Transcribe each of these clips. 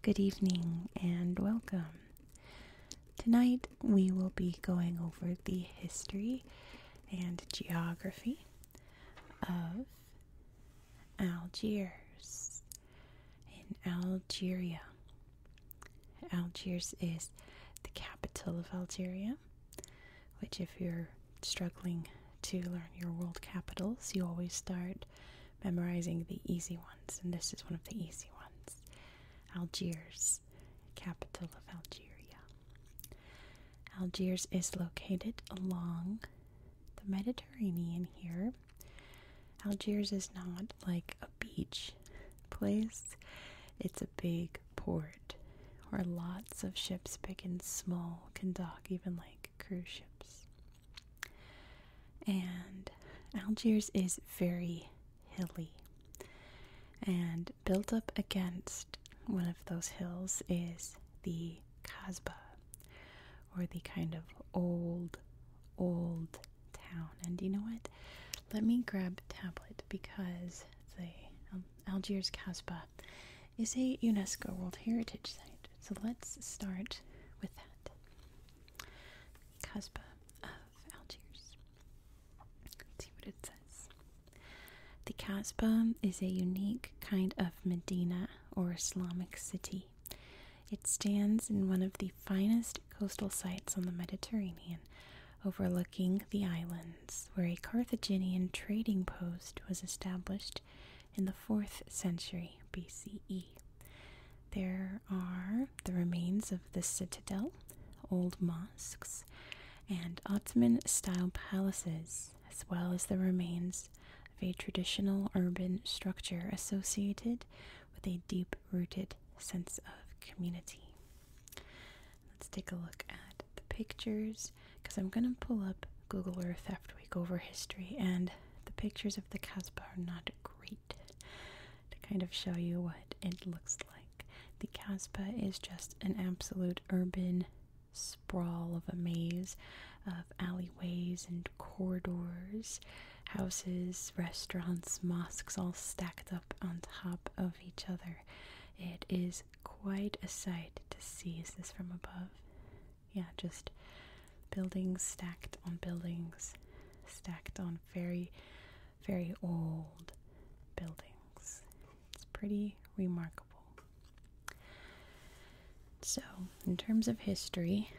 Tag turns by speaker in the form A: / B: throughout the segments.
A: Good evening and welcome. Tonight we will be going over the history and geography of Algiers in Algeria. Algiers is the capital of Algeria, which, if you're struggling to learn your world capitals, you always start memorizing the easy ones, and this is one of the easy ones. Algiers capital of Algeria. Algiers is located along the Mediterranean here. Algiers is not like a beach place, it's a big port where lots of ships, big and small, can dock, even like cruise ships. And Algiers is very hilly. And built up against one of those hills is the Kasbah, or the kind of old, old town. And you know what? Let me grab tablet because the Algiers Kasbah is a UNESCO World Heritage Site. So let's start with that. Kasbah of Algiers. see what it says. The Kasbah is a unique kind of Medina or Islamic city. It stands in one of the finest coastal sites on the Mediterranean, overlooking the islands, where a Carthaginian trading post was established in the 4th century BCE. There are the remains of the citadel, old mosques, and Ottoman style palaces, as well as the remains of a traditional urban structure associated with a deep rooted sense of community. Let's take a look at the pictures because I'm going to pull up Google Earth after we go over history, and the pictures of the Casbah are not great to kind of show you what it looks like. The Casbah is just an absolute urban sprawl of a maze of alleyways and corridors, houses, restaurants, mosques all stacked up on top of each other. It is quite a sight to see. this from above? Yeah, just buildings stacked on buildings, stacked on very very old buildings. It's pretty remarkable. So, in terms of history,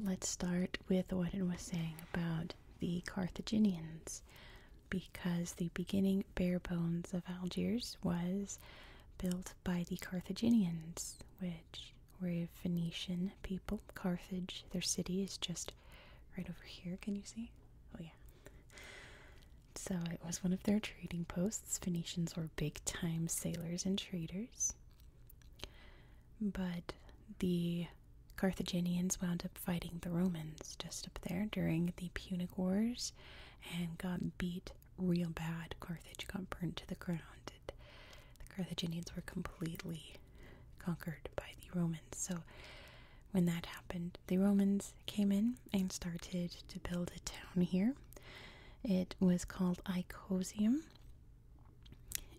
A: let's start with what it was saying about the Carthaginians because the beginning bare bones of Algiers was built by the Carthaginians, which were a Phoenician people. Carthage, their city, is just right over here. Can you see? Oh, yeah. So it was one of their trading posts. Phoenicians were big time sailors and traders. But the Carthaginians wound up fighting the Romans just up there during the Punic Wars and got beat real bad. Carthage got burned to the ground. the Carthaginians were completely conquered by the Romans. So when that happened. The Romans came in and started to build a town here. It was called Icosium.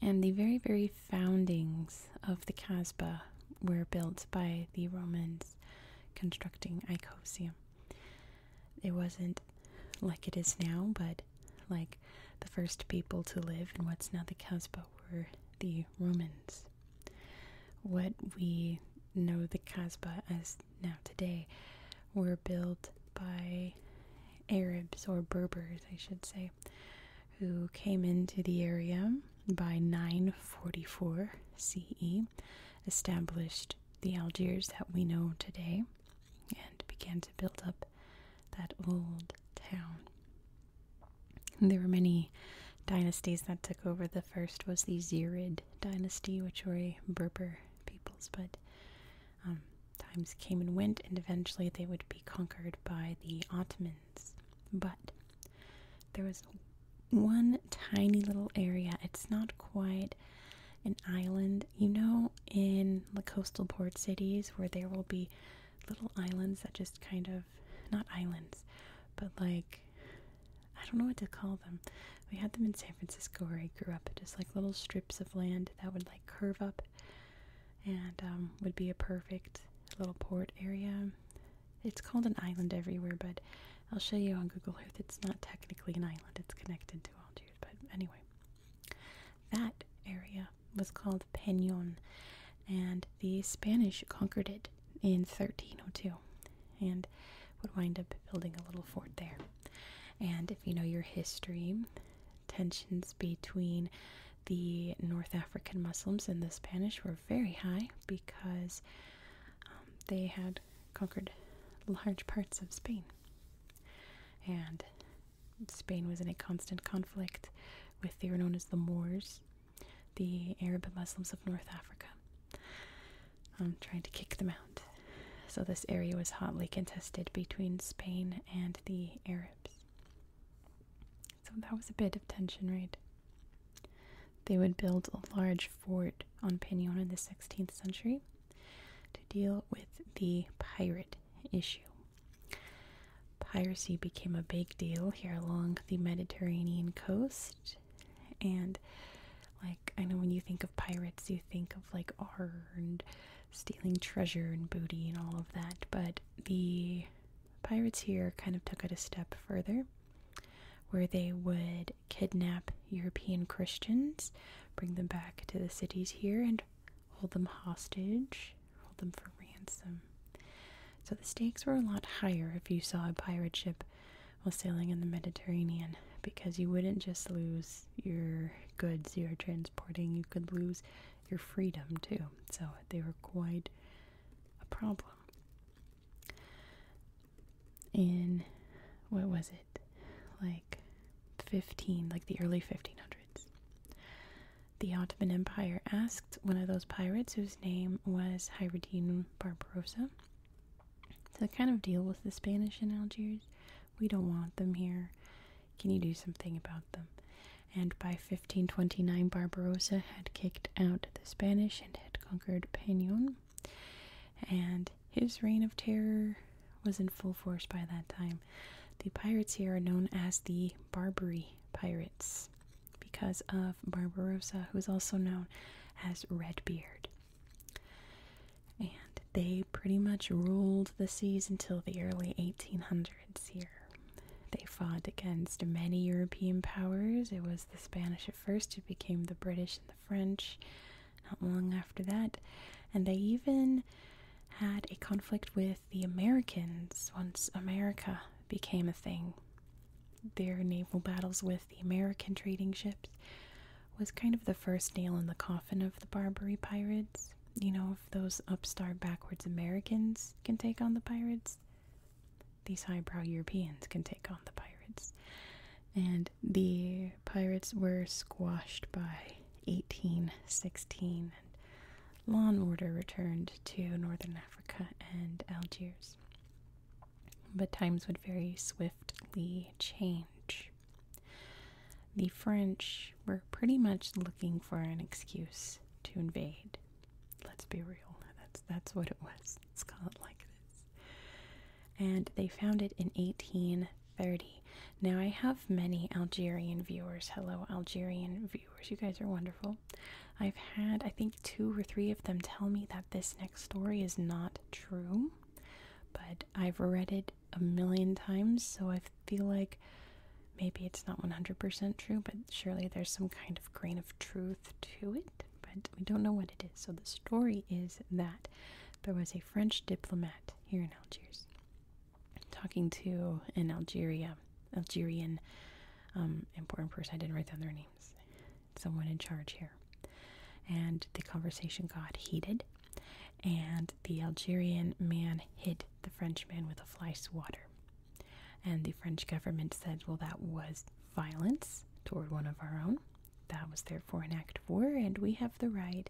A: And the very, very foundings of the Casbah were built by the Romans constructing Icosium. It wasn't like it is now, but like the first people to live in what's now the Casbah were the Romans what we know the Kasbah as now today were built by Arabs or Berbers, I should say, who came into the area by 944 CE, established the Algiers that we know today, and began to build up that old town there were many dynasties that took over. The first was the Zirid dynasty, which were Berber peoples, but um, times came and went, and eventually they would be conquered by the Ottomans. But there was one tiny little area. It's not quite an island. You know, in the coastal port cities where there will be little islands that just kind of not islands, but like I don't know what to call them. We had them in San Francisco where I grew up, just like little strips of land that would like curve up and um, would be a perfect little port area. It's called an island everywhere, but I'll show you on Google Earth. It's not technically an island, it's connected to Algiers, but anyway. That area was called Peñon, and the Spanish conquered it in 1302 and would wind up building a little fort there. And if you know your history, tensions between the North African Muslims and the Spanish were very high because um, they had conquered large parts of Spain. And Spain was in a constant conflict with, the, were known as the Moors, the Arab Muslims of North Africa, um, trying to kick them out. So this area was hotly contested between Spain and the Arabs. So that was a bit of tension, right? They would build a large fort on Pignon in the 16th century to deal with the pirate issue. Piracy became a big deal here along the Mediterranean coast and like I know when you think of pirates, you think of like r and stealing treasure and booty and all of that, but the pirates here kind of took it a step further where they would kidnap European Christians, bring them back to the cities here and hold them hostage, hold them for ransom. So the stakes were a lot higher if you saw a pirate ship while sailing in the Mediterranean because you wouldn't just lose your goods you're transporting, you could lose your freedom too. So they were quite a problem. In what was it? Like 15, like the early 1500s. The Ottoman Empire asked one of those pirates whose name was Hyruddin Barbarossa. to kind of deal with the Spanish in Algiers. We don't want them here. Can you do something about them? And by 1529, Barbarossa had kicked out the Spanish and had conquered Peñon. And his reign of terror was in full force by that time. The pirates here are known as the Barbary Pirates because of Barbarossa, who's also known as Redbeard. And they pretty much ruled the seas until the early 1800s here. They fought against many European powers. It was the Spanish at first, it became the British and the French not long after that. And they even had a conflict with the Americans once America became a thing their naval battles with the American trading ships was kind of the first nail in the coffin of the Barbary pirates. You know, if those upstart backwards Americans can take on the pirates, these highbrow Europeans can take on the pirates. And the pirates were squashed by 1816, and law and order returned to northern Africa and Algiers but times would very swiftly change. The French were pretty much looking for an excuse to invade. Let's be real, that's, that's what it was. Let's call it like this. And they found it in 1830. Now, I have many Algerian viewers. Hello, Algerian viewers. You guys are wonderful. I've had, I think, two or three of them tell me that this next story is not true, but I've read it a million times, so I feel like maybe it's not 100% true, but surely there's some kind of grain of truth to it. But we don't know what it is. So the story is that there was a French diplomat here in Algiers talking to an Algeria Algerian important um, person. I didn't write down their name someone in charge here. And the conversation got heated, and the Algerian man hit the French man with a fly swatter. And the French government said, well, that was violence toward one of our own. That was therefore an act of war, and we have the right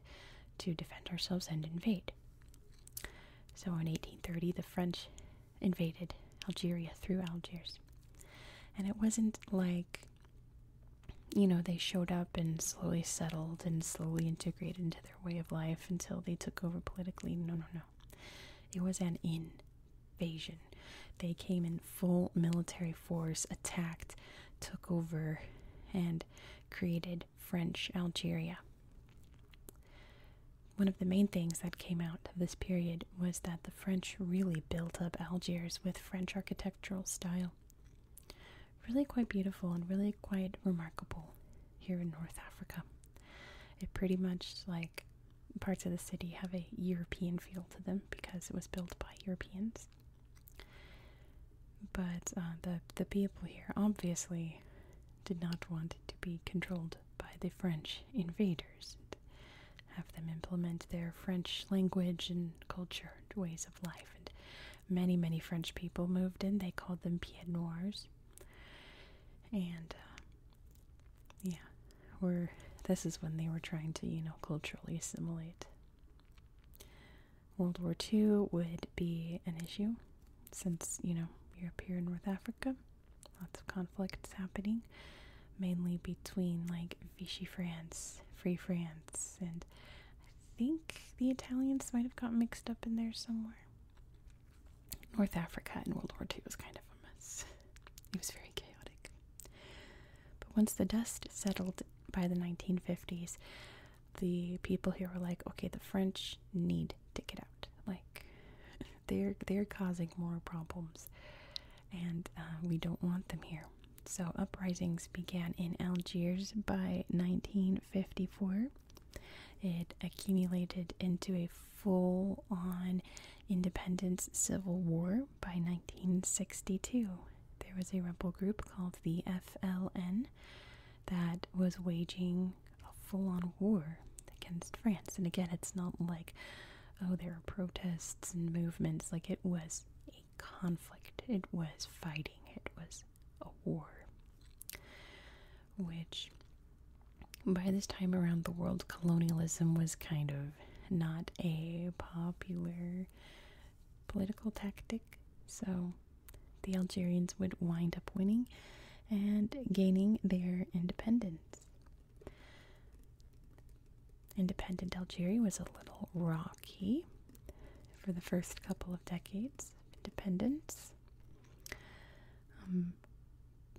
A: to defend ourselves and invade. So in 1830, the French invaded Algeria through Algiers. And it wasn't like, you know, they showed up and slowly settled and slowly integrated into their way of life until they took over politically. No, no, no. It was an invasion. They came in full military force, attacked, took over, and created French Algeria one of the main things that came out of this period was that the French really built up Algiers with French architectural style. Really quite beautiful and really quite remarkable here in North Africa. It pretty much, like parts of the city, have a European feel to them because it was built by Europeans. But uh, the, the people here obviously did not want to be controlled by the French invaders have them implement their French language and culture and ways of life. And many, many French people moved in. They called them Pied Noirs. And uh, yeah, we're, this is when they were trying to, you know, culturally assimilate. World War II would be an issue since, you know, you're here in North Africa lots of conflicts happening, mainly between like Vichy France, Free France, and I think the Italians might have got mixed up in there somewhere. North Africa in World War II was kind of a mess. It was very chaotic. But once the dust settled by the 1950s, the people here were like, okay, the French need to get out. Like, they're they're causing more problems and uh, we don't want them here so uprisings began in algiers by 1954 it accumulated into a full-on independence civil war by 1962 there was a rebel group called the fln that was waging a full-on war against France. And again, it's not like, oh, there are protests and movements. Like, it was a conflict, it was fighting, it was a war. Which, by this time around the world, colonialism was kind of not a popular political tactic. So, the Algerians would wind up winning and gaining their independence. Independent Algeria was a little rocky for the first couple of decades independence. Um,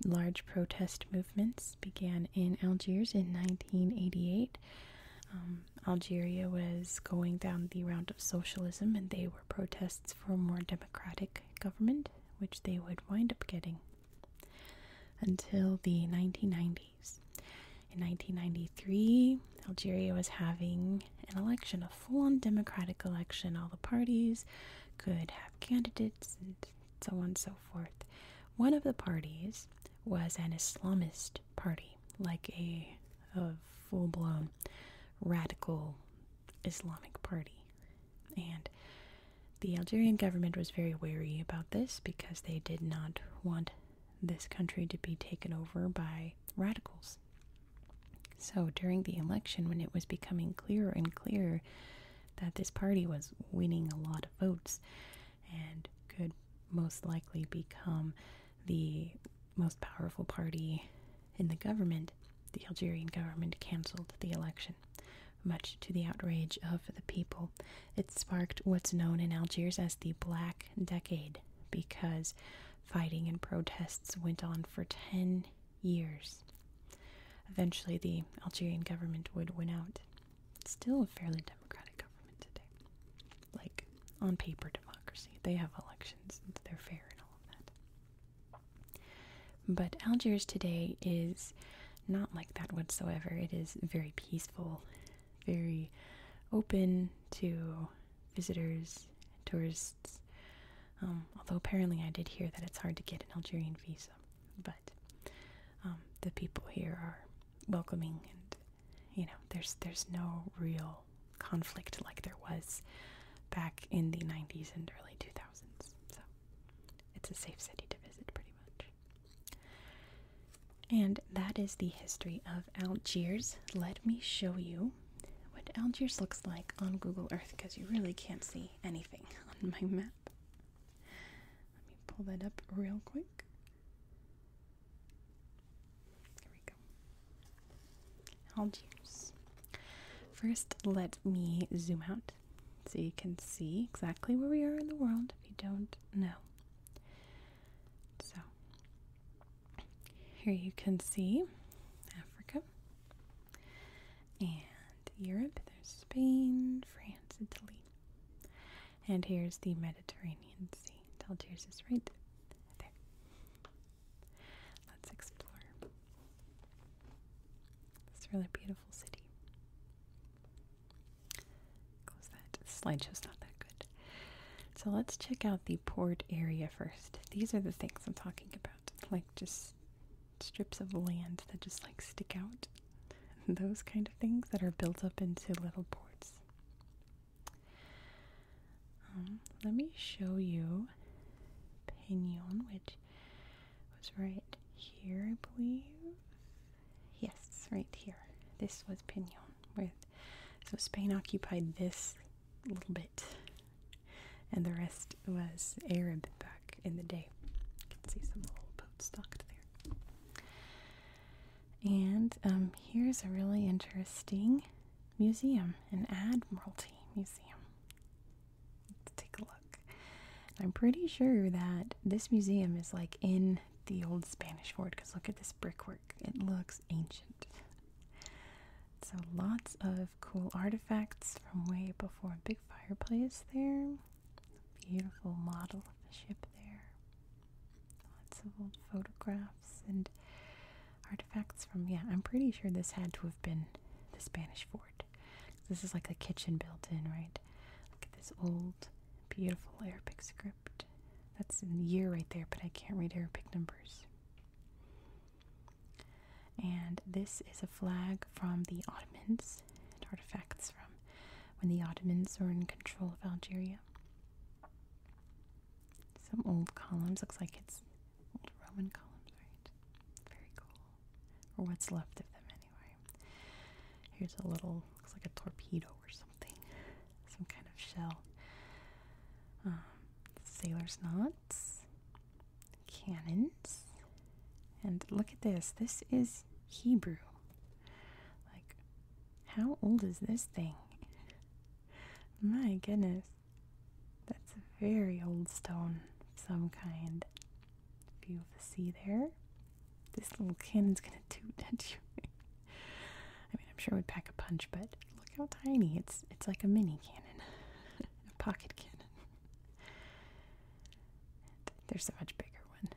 A: large protest movements began in Algiers in 1988. Um, Algeria was going down the route of socialism, and they were protests for a more democratic government, which they would wind up getting until the 1990s. In 1993, Algeria was having an election, a full on democratic election. All the parties could have candidates and so on and so forth. One of the parties was an Islamist party, like a full blown radical Islamic party. And the Algerian government was very wary about this because they did not want this country to be taken over by radicals. So during the election, when it was becoming clearer and clearer that this party was winning a lot of votes and could most likely become the most powerful party in the government, the Algerian government cancelled the election much to the outrage of the people. It sparked what's known in Algiers as the Black Decade because fighting and protests went on for 10 years. Eventually, the Algerian government would win out. It's still a fairly democratic government today. Like, on paper, democracy. They have elections, they're fair and all of that. But Algiers today is not like that whatsoever. It is very peaceful, very open to visitors, tourists. Um, although apparently I did hear that it's hard to get an Algerian visa, but um, the people here are welcoming, and you know, there's there's no real conflict like there was back in the 90s and early 2000s. So it's a safe city to visit, pretty much. And that is the history of Algiers. Let me show you what Algiers looks like on Google Earth because you really can't see anything on my map. Let me pull that up real quick. Here we go. Algiers. First, let me zoom out so you can see exactly where we are in the world if you don't know. So, here you can see Africa and Europe. There's Spain, France, Italy. And here's the Mediterranean Sea. Algiers is right there. Let's explore. It's a really beautiful city. Close that. slideshow's not that good. So let's check out the port area first. These are the things I'm talking about, like just strips of land that just like stick out. Those kind of things that are built up into little ports. Um, let me show you Pinion, which was right here, I believe. Yes, right here. This was Pignon with so Spain occupied this little bit, and the rest was Arab back in the day. You can see some old boats docked there. And um, here's a really interesting museum, an Admiralty Museum. Let's take a look. I'm pretty sure that this museum is like in the old Spanish fort because look at this brickwork. It looks ancient. So lots of cool artifacts from way before. Big fireplace there. Beautiful model of the ship there. Lots of old photographs and artifacts from yeah, I'm pretty sure this had to have been the Spanish fort. This is like a kitchen built in, right? Look at this old, beautiful Arabic script. That's in the year right there, but I can't read Arabic numbers. And this is a flag from the Ottomans, artifacts from when the Ottomans were in control of Algeria. Some old columns, looks like it's old Roman columns, right? Very cool. Or what's left of them, anyway. Here's a little, looks like a torpedo or something. Some kind of shell. Um, sailor's knots. Cannons. And look at this. This is Hebrew. Like, how old is this thing? My goodness. That's a very old stone some kind view of the sea there. This little cannon's gonna toot at you. I mean, I'm sure it would pack a punch, but look how tiny. It's it's like a mini cannon, a pocket cannon. there's a much bigger one.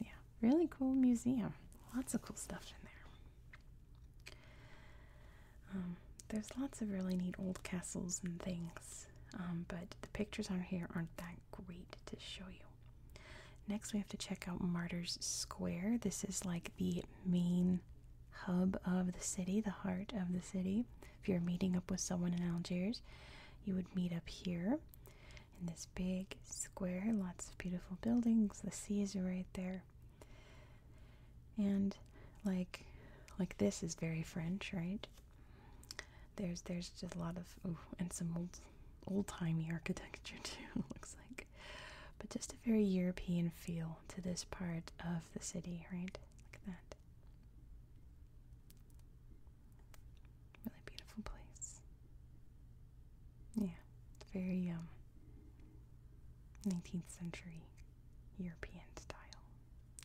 A: Yeah, really cool museum. Lots of cool stuff in there. Um, there's lots of really neat old castles and things um, but the pictures on here aren't that great to show you. Next, we have to check out Martyrs Square. This is like the main hub of the city, the heart of the city. If you're meeting up with someone in Algiers, you would meet up here in this big square. Lots of beautiful buildings. The sea are right there. And like like this is very French, right? There's there's just a lot of and some old old timey architecture too looks like, but just a very European feel to this part of the city, right? Look at that. Really beautiful place. Yeah, very um 19th century European style.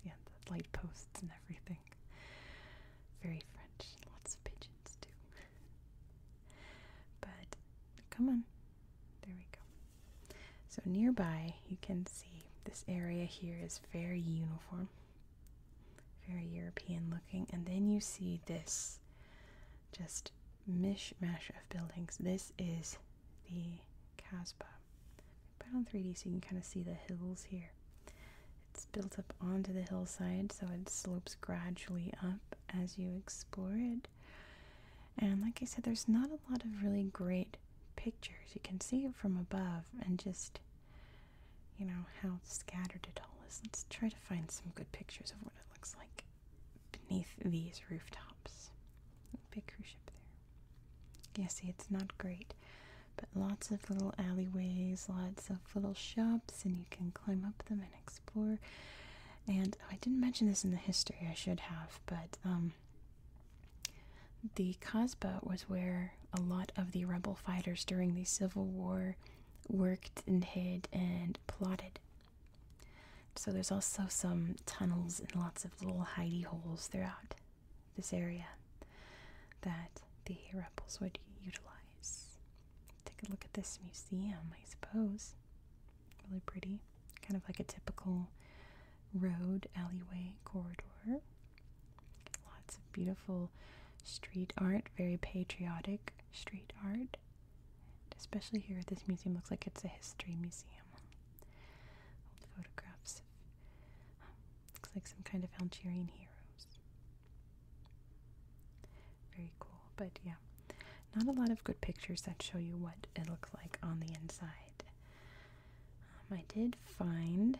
A: Yeah, the light posts and everything. Very French. Lots of pigeons too. but come on. There we go. So nearby you can see this area here is very uniform. Very European looking. And then you see this just mishmash of buildings. This is the Casbah put on 3D so you can kind of see the hills here. It's built up onto the hillside, so it slopes gradually up as you explore it. And like I said, there's not a lot of really great pictures. You can see it from above and just, you know, how scattered it all is. Let's try to find some good pictures of what it looks like beneath these rooftops. Big cruise ship there. Yeah, see, it's not great, but lots of little alleyways, lots of little shops, and you can climb up them and explore. And oh, I didn't mention this in the history, I should have, but um, the Casbah was where a lot of the rebel fighters during the Civil War worked and hid and plotted. So there's also some tunnels and lots of little hidey holes throughout this area that the rebels would utilize. Take a look at this museum, I suppose. Really pretty. Kind of like a typical road, alleyway, corridor. Lots of beautiful street art, very patriotic street art. especially here, this museum looks like it's a history museum. Old photographs looks like some kind of Algerian heroes. Very cool, but yeah, not a lot of good pictures that show you what it looked like on the inside. Um, I did find,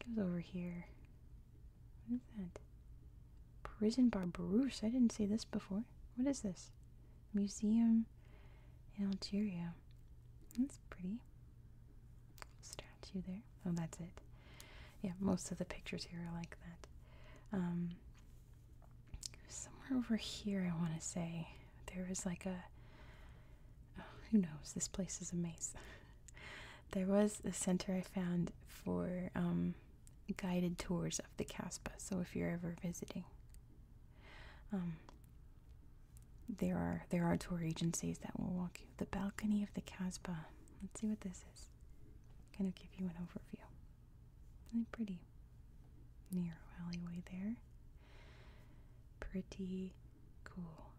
A: I think it was over here. What is that? Prison Barbarousse. I didn't see this before. What is this? Museum in Algeria. That's pretty. Statue there. Oh, that's it. Yeah, most of the pictures here are like that. Um, somewhere over here, I want to say, there was like a. Oh, who knows? This place is a maze. there was a center I found for um, guided tours of the Casbah, so if you're ever visiting, um, there are there are tour agencies that will walk you the balcony of the Casbah. Let's see what this is. Kind of give you an overview. Really pretty. Narrow alleyway there. Pretty cool.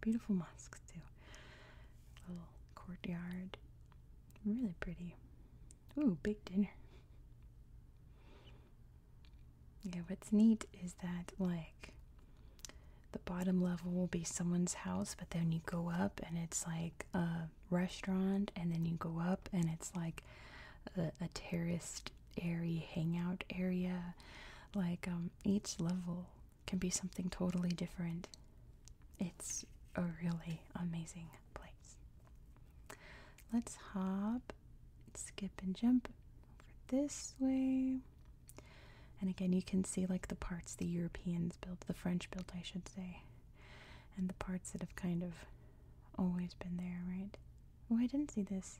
A: Beautiful mosques too. Little courtyard. Really pretty. Ooh, big dinner. Yeah, what's neat is that, like, the bottom level will be someone's house, but then you go up and it's like a restaurant, and then you go up and it's like a, terraced, airy hangout area. Like, um, each level can be something totally different. It's a really amazing place. Let's hop, skip, and jump this way. And again, you can see like the parts the Europeans built, the French built, I should say, and the parts that have kind of always been there, right? Oh, I didn't see this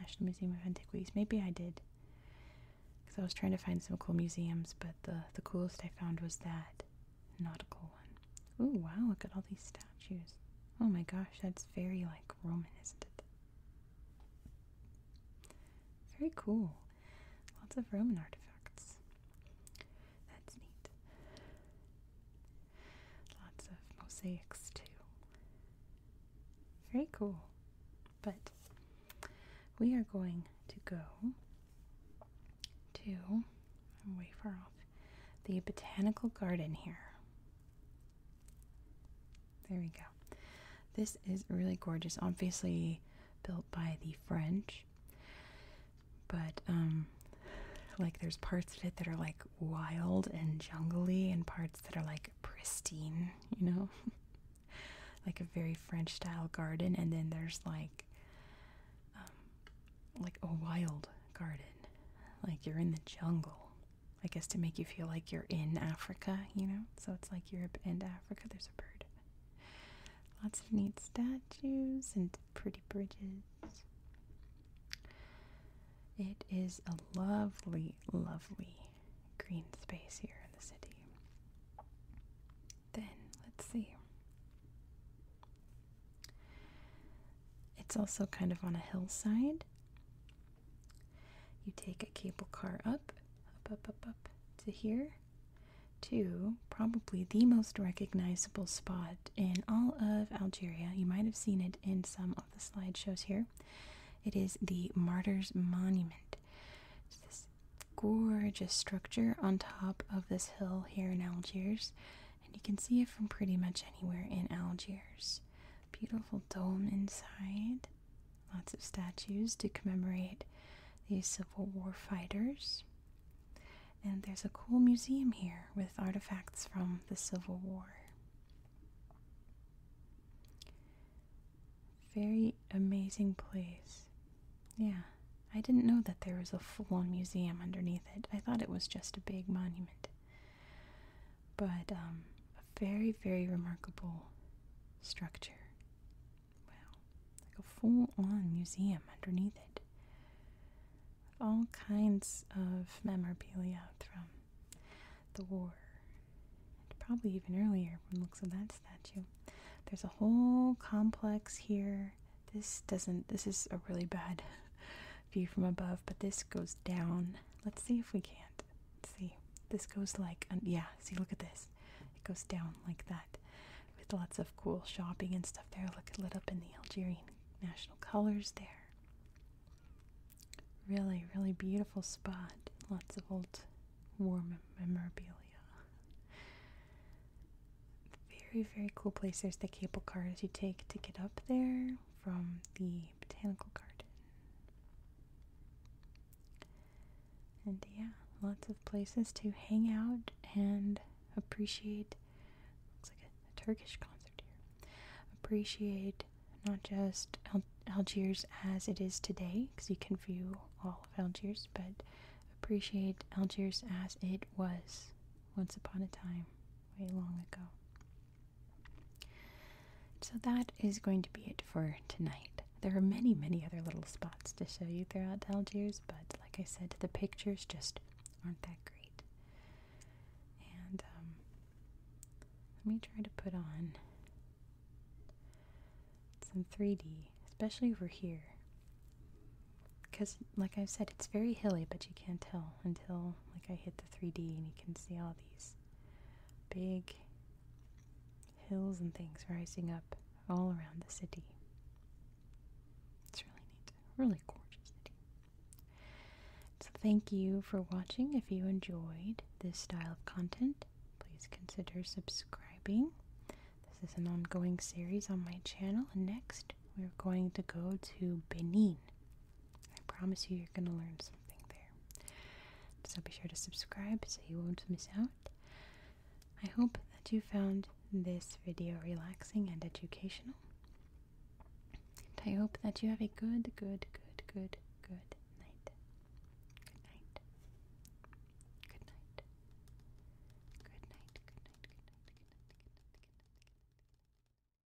A: National Museum of Antiquities. Maybe I did. Because I was trying to find some cool museums, but the, the coolest I found was that nautical one. Oh, wow, look at all these stuff. Oh my gosh, that's very like Roman, isn't it? Very cool. Lots of Roman artifacts. That's neat. Lots of mosaics too. Very cool. But we are going to go to, way far off, the botanical garden here. There we go. This is really gorgeous. Obviously built by the French, but um, like there's parts of it that are like wild and jungly, and parts that are like pristine. You know, like a very French style garden, and then there's like um, like a wild garden, like you're in the jungle. I guess to make you feel like you're in Africa, you know? So it's like Europe and Africa, there's a bird. Lots of neat statues and pretty bridges. It is a lovely, lovely green space here in the city. Then, let's see. It's also kind of on a hillside, you take a cable car up, up, up, up, up to here, to probably the most recognizable spot in all of Algeria. You might have seen it in some of the slideshows here. It is the Martyrs Monument. It's this gorgeous structure on top of this hill here in Algiers, and you can see it from pretty much anywhere in Algiers beautiful dome inside. Lots of statues to commemorate these Civil War fighters. And there's a cool museum here with artifacts from the Civil War. Very amazing place. Yeah, I didn't know that there was a full on museum underneath it. I thought it was just a big monument. But um, a very, very remarkable structure. Wow, like a full on museum underneath it. All kinds of memorabilia from the war, and probably even earlier from looks of that statue. There's a whole complex here. This doesn't, this is a really bad view from above, but this goes down. Let's see if we can't. Let's see. This goes like, um, yeah, see, look at this. It goes down like that with lots of cool shopping and stuff there. Look, lit up in the Algerian national colors there. Really, really beautiful spot. Lots of old war memorabilia. Very, very cool place. There's the cable cars you take to get up there from the the botanical garden. And yeah, lots of places to hang out and appreciate. Looks like a, Turkish concert here. Appreciate not just Algiers as it is today, because you can view all of Algiers, but appreciate Algiers as it was once upon a time, way long ago. So that is going to be it for tonight. There are many, many other little spots to show you throughout Algiers, but like I said, the pictures just aren't that great. And um, let me try to put on some 3D, especially over here. Because, like I said, it's very hilly, but you can't tell until like I hit 3D and you can see all these big hills and things rising up all around the city. It's really neat, really gorgeous So, thank you for watching. If you enjoyed this style of content, please consider subscribing. This is an ongoing series on my channel, and next we're going to go to Benin. I promise you, you're going to learn something there. So be sure to subscribe so you won't miss out. I hope that you found this video relaxing and educational. And I hope that you have a good, good, good, good, good night. Good night. Good night. Good night. Good night. Good night. Good night. Good night. Good night.